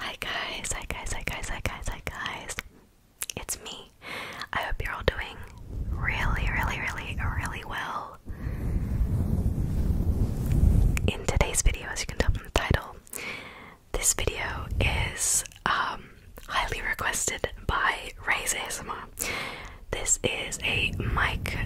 Hi guys, hi guys, hi guys, hi guys, hi guys. It's me. I hope you're all doing really, really, really, really well. In today's video, as you can tell from the title, this video is um, highly requested by Raise ASMR. This is a mic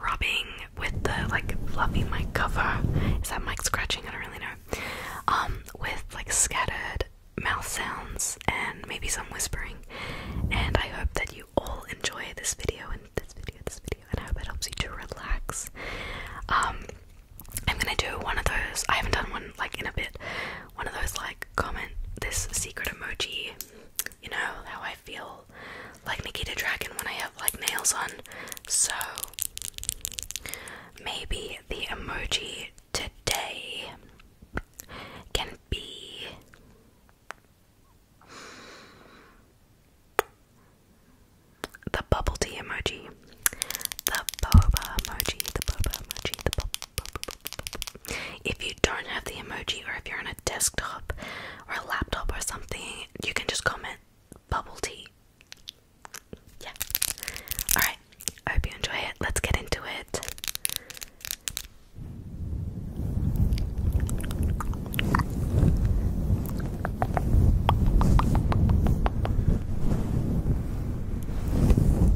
rubbing with the like fluffy mic cover. Is that mic scratching? I don't really know. Um, with like scattered mouth sounds and maybe some whispering. And I hope that you all enjoy this video and this video, this video, and I hope it helps you to relax. Um, I'm gonna do one of those. I haven't done one like in a bit. One of those like comment this secret emoji you know how I feel like Nikita Dragon when I have like nails on. So maybe the emoji today can be the bubble tea emoji, the boba emoji, the boba emoji, the bo if you don't have the emoji, or if you're on a desktop or a laptop or something, you can just comment bubble tea. Yeah. Alright, I hope you enjoy it. Let's get into it.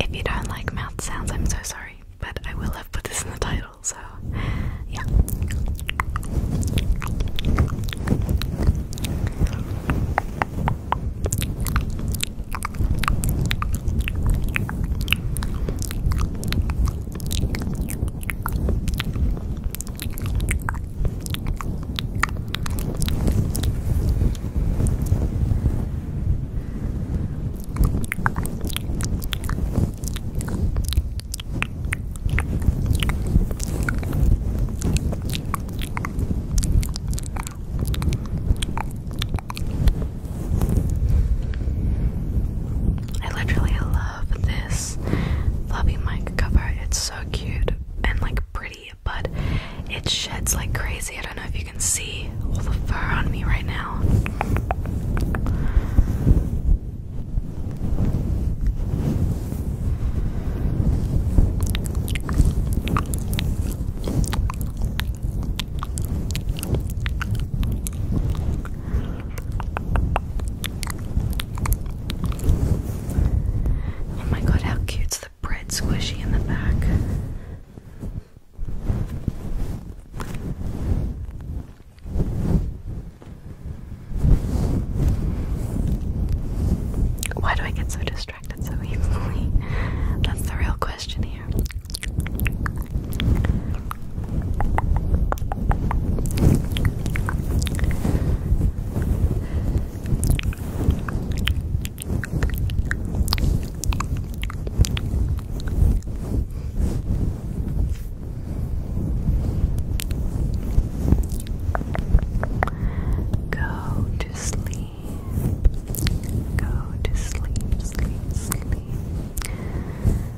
If you don't like mouth sounds, I'm so sorry, but I will have put this in the title, so yeah. I literally love love this fluffy mic cover. It's so cute and like pretty, but it sheds like crazy. I don't know if you can see all the fur on me right now. Oh my god, how cute's the bread squishy in the back. Why do I get so distracted so easily? That's the real question here. Go to sleep. Go to sleep, sleep, sleep.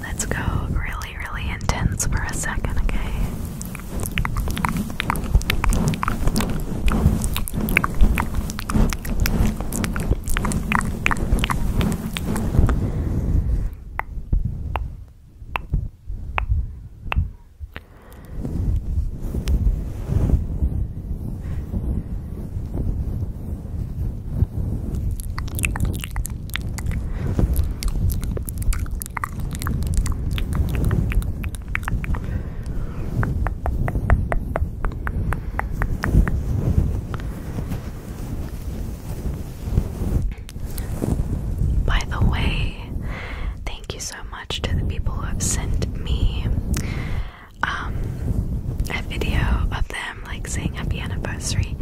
Let's go really, really intense for a second, okay? By the way, thank you so much to the people who have sent me um, a video of them like saying happy anniversary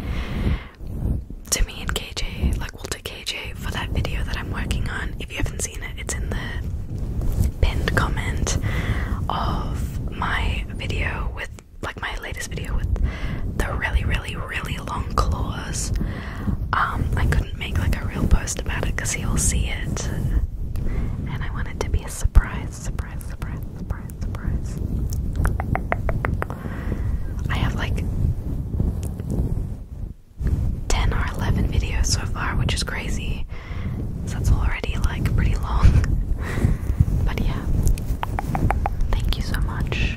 to me and KJ, like well to KJ for that video that I'm working on. If you haven't seen it, it's in the pinned comment of my video with like my latest video with the really really really long claws. Um, I couldn't make like a real post about it because he'll see it. And I want it to be a surprise, surprise, surprise, surprise surprise, I have like 10 or 11 videos so far, which is crazy. So that's already like pretty long. but yeah. Thank you so much.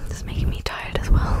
This is making me tired as well.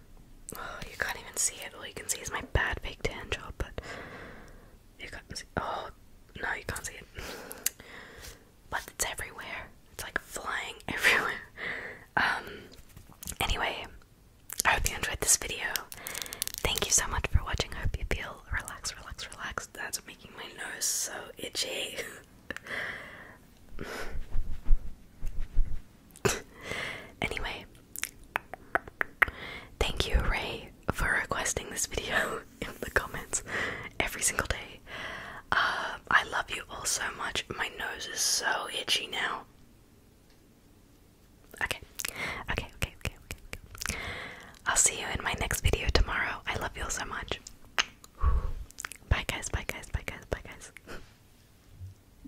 Oh, you can't even see it. All you can see is my bad fake tan job, but you can't see. Oh, no, you can't see it. But it's everywhere. It's like flying everywhere. Um. Anyway, I hope you enjoyed this video. Thank you so much for watching. I hope you feel relaxed, relaxed, relaxed. That's making my nose so itchy. anyway, thank you, Ray, for requesting this video in the comments every single day. Um, I love you all so much. My nose is so itchy now. okay, okay, okay, okay, okay. I'll see you in my next video tomorrow. I love you all so much. Bye, guys, bye, guys, bye, guys, bye, guys.